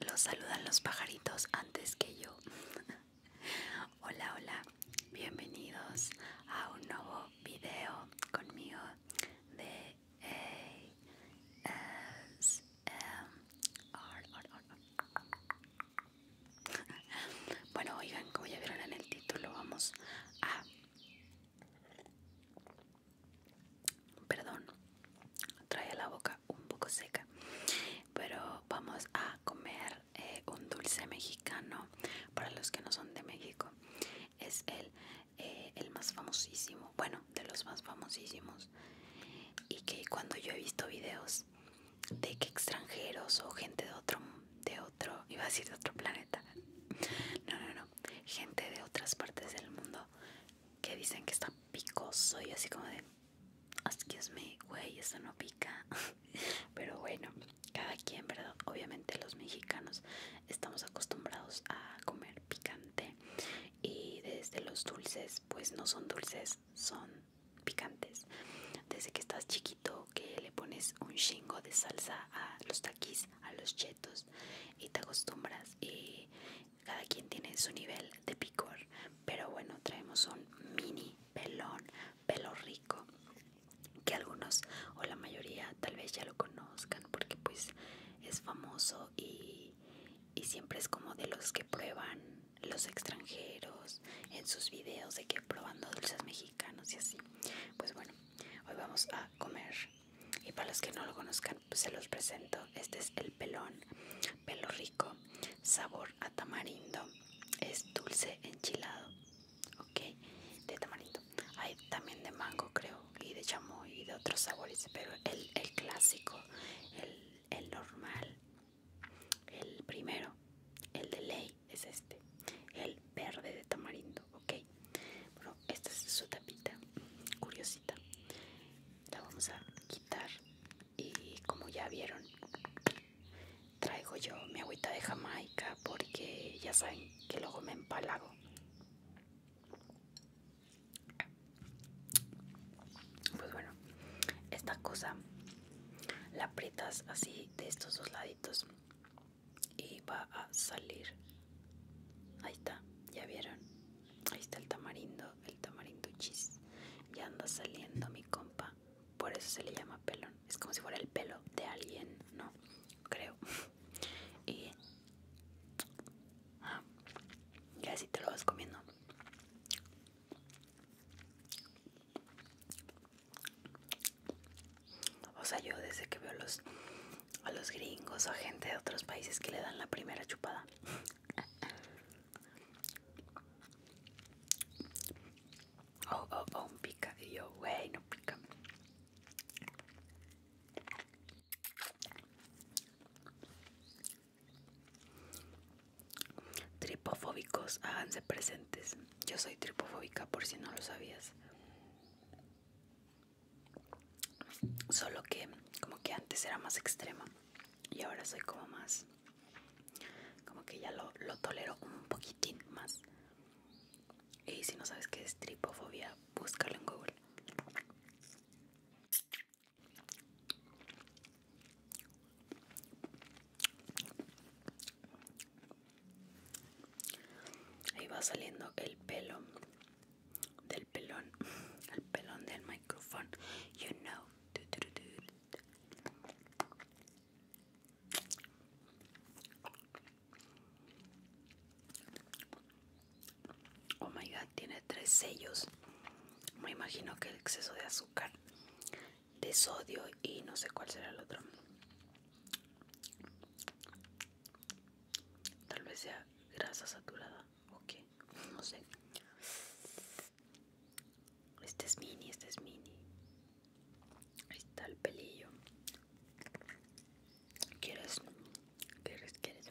Los saludan los pajaritos antes que yo. hola, hola, bienvenidos a un nuevo video conmigo de ASMR. bueno, oigan, como ya vieron en el título, vamos a Perdón, trae la boca un poco seca. Pero vamos a comer eh, un dulce mexicano para los que no son de México. Es eh, el, más famosísimo, bueno, de los más famosísimos. Y que cuando yo he visto videos de que extranjeros o gente de otro, de otro, iba a decir de otro planeta, no, no, no, gente de otras partes del mundo que dicen que está picoso y así como de, excuse me, güey, eso no pica, pero bueno, cada quien, ¿verdad? Obviamente los mexicanos estamos acostumbrados a comer picante y desde los dulces, pues no son dulces, son picantes. Desde que estás chiquito que le pones un chingo de salsa a los a los chetos y te acostumbras y cada quien tiene su nivel de picor. Pero bueno, traemos un mini pelón, pelo rico, que algunos o la mayoría tal vez ya lo conozcan porque pues es famoso y, y siempre es como de los que prueban los extranjeros en sus videos de que probando dulces mexicanos y así. Pues bueno, Hoy vamos a comer. Y para los que no lo conozcan, pues se los presento. Este es el pelón, pelo rico, sabor a tamarindo. Es dulce enchilado, ok, de tamarindo. Hay también de mango, creo, y de chamoy y de otros sabores, pero el, clásico, el, el normal, el primero, el de ley, es este el verde de tamarindo ok bueno esta es su tapita curiosita la vamos a quitar y como ya vieron traigo yo mi agüita de jamaica porque ya saben que luego me empalago pues bueno esta cosa la aprietas así de estos dos laditos y va a salir ahí está ya vieron ahí está el tamarindo el tamarindo chis ya anda saliendo mi compa por eso se le llama pelón es como si fuera el pelo de alguien no creo y ah, y así te lo vas comiendo o sea, yo desde que veo los, a los gringos o a gente de otros países que le dan la primera chupada. Oh, oh, oh, pica. Y yo, güey, no pica. Tripofóbicos, háganse presentes. Yo soy tripofóbica por si no lo sabías. Solo que como que antes era más extrema y ahora soy como más... Como que ya lo, tolero un poquitín más. Y si no sabes qué es tripofobia, búscalo en Google. Ahí va saliendo el pelo del pelón, el pelón del micrófono. You know. Oh my god, tiene tres sellos. Me imagino que el exceso de azúcar de sodio y no sé cuál será el otro. Tal vez sea grasa saturada o qué, no sé. Este es mini, este es mini. está el pelillo. ¿Quieres? ¿Quieres? ¿Quieres?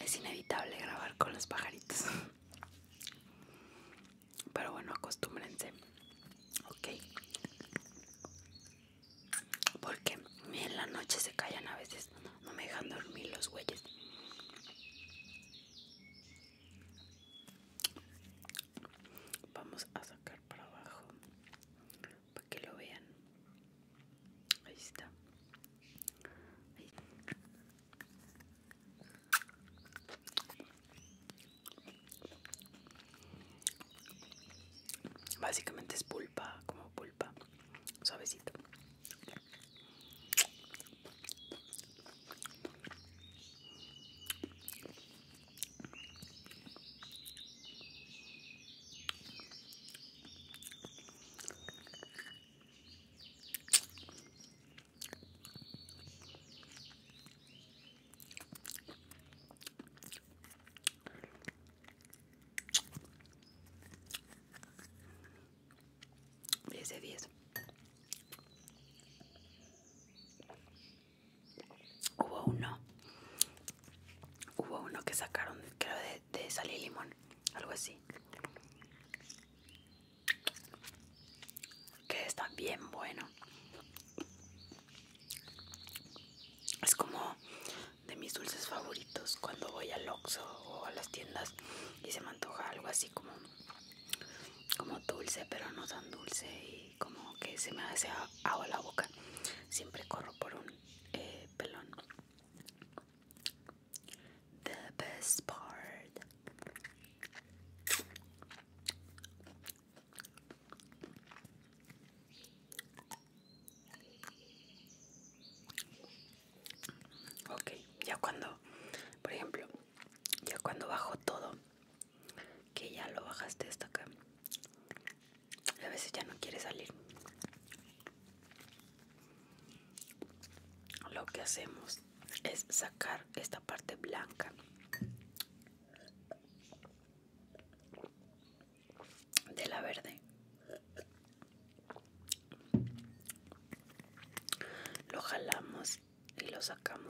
es inevitable grabar con los pajaritos. Pero bueno, acostúmbrense. Ok. Porque en la noche se callan a veces. No me dejan dormir los güeyes. Vamos a sacar para abajo para que lo vean. Ahí está. Básicamente es pulpa, como pulpa, suavecito. 10 de 10. Hubo uno. Hubo uno que sacaron, creo, de de, sal y limón, algo así. Que está bien bueno. Es como de mis dulces favoritos cuando voy al Oxxo o a las tiendas y se me antoja algo así como como dulce pero no tan dulce y como que se me hace agua la boca siempre corro por un eh, pelón The best part. Ok, ya cuando, por ejemplo, ya cuando bajo todo, que ya lo bajaste hasta acá, a veces ya no quiere salir. Lo que hacemos es sacar esta parte blanca de la verde. Lo jalamos y lo sacamos.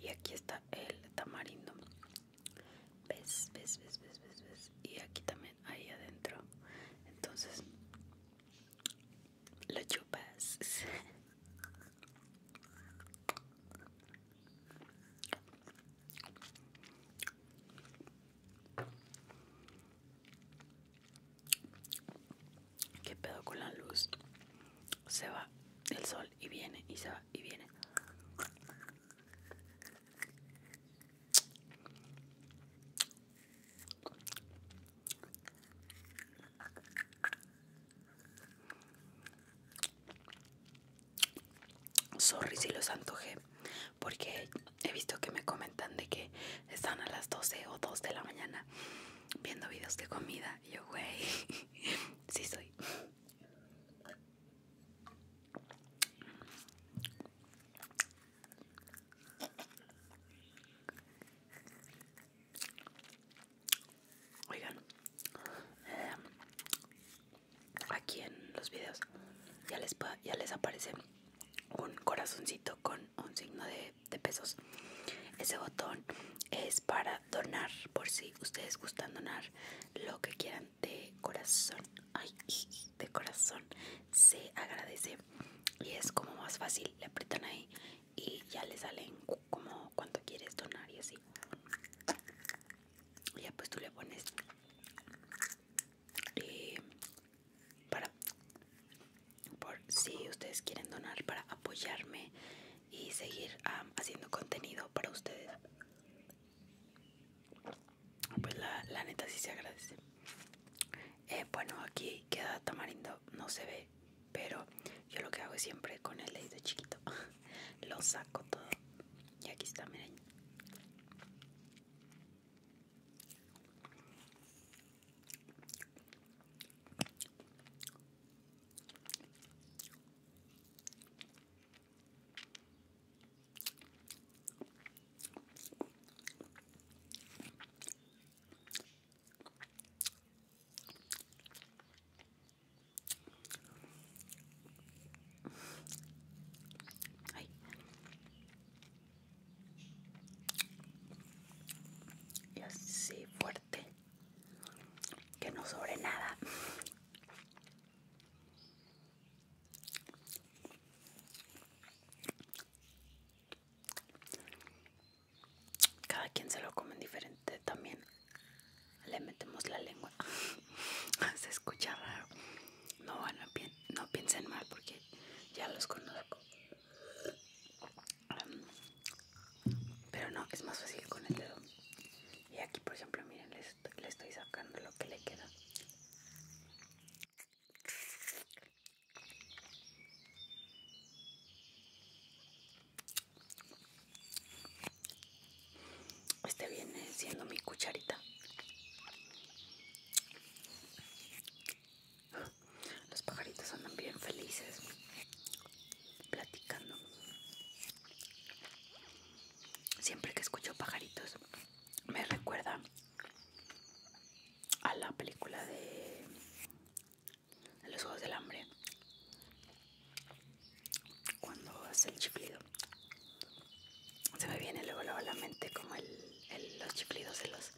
Y aquí está el tamarindo. ¿Ves? ¿Ves? ¿Ves? ¿Ves? ¿Ves? Y aquí también, ahí adentro. Entonces, lo chupas. ¿Qué pedo con la luz? Se va el sol y viene y se y viene. Sorry si los antojé, porque he visto que me comentan de que están a las doce o dos de la mañana viendo videos de comida. yo, güey, sí soy. Oigan, eh, aquí en los videos ya les, ya les aparece un corazoncito con un signo de pesos ese botón es para donar por si ustedes gustan donar lo que quieran de corazón ay de corazón se agradece y es como más fácil le apretan ahí y ya le salen como cuánto quieres donar y así ya pues tú le pones y eh, para por si ustedes quieren donar para apoyarme y seguir haciendo contenido para ustedes pues la, neta sí se agradece eh, bueno aquí queda tamarindo no se ve pero yo lo que hago es siempre con el dedo chiquito lo saco todo y aquí está miren Ay. Y así fuerte que no sobre nada. Cada quien se lo come diferente también. Le metemos la lengua. se escucha raro. No, no, no piensen mal porque ya los conozco. Pero no, es más fácil con el dedo. Y aquí, por ejemplo, miren, le estoy, sacando lo que le queda. Este viene siendo mi cucharita. Los pajaritos andan bien felices platicando. Siempre que escucho pajaritos me recuerda a la película de Los Juegos del Hambre. Cuando hace el chiplido Se me viene luego, a la mente como el, los chiplidos de los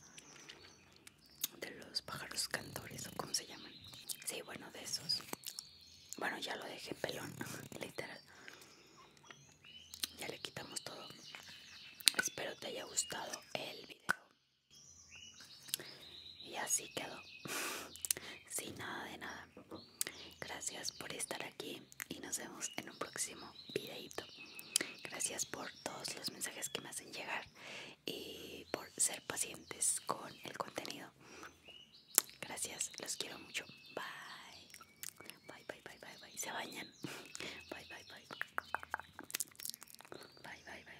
de los pájaros cantores o como se llaman. Sí, bueno, de esos. Bueno, ya lo dejé pelón, literal. Ya le quitamos todo. Espero te haya gustado el video. Y así quedó. Sin nada de nada. Gracias por estar aquí y nos vemos en un próximo videito. Gracias por todos los mensajes que me hacen llegar y por ser pacientes con el contenido. Gracias, los quiero mucho. Bye. Bye, bye, bye, bye, bye. Se bañan. bye, bye. Bye, bye, bye, bye.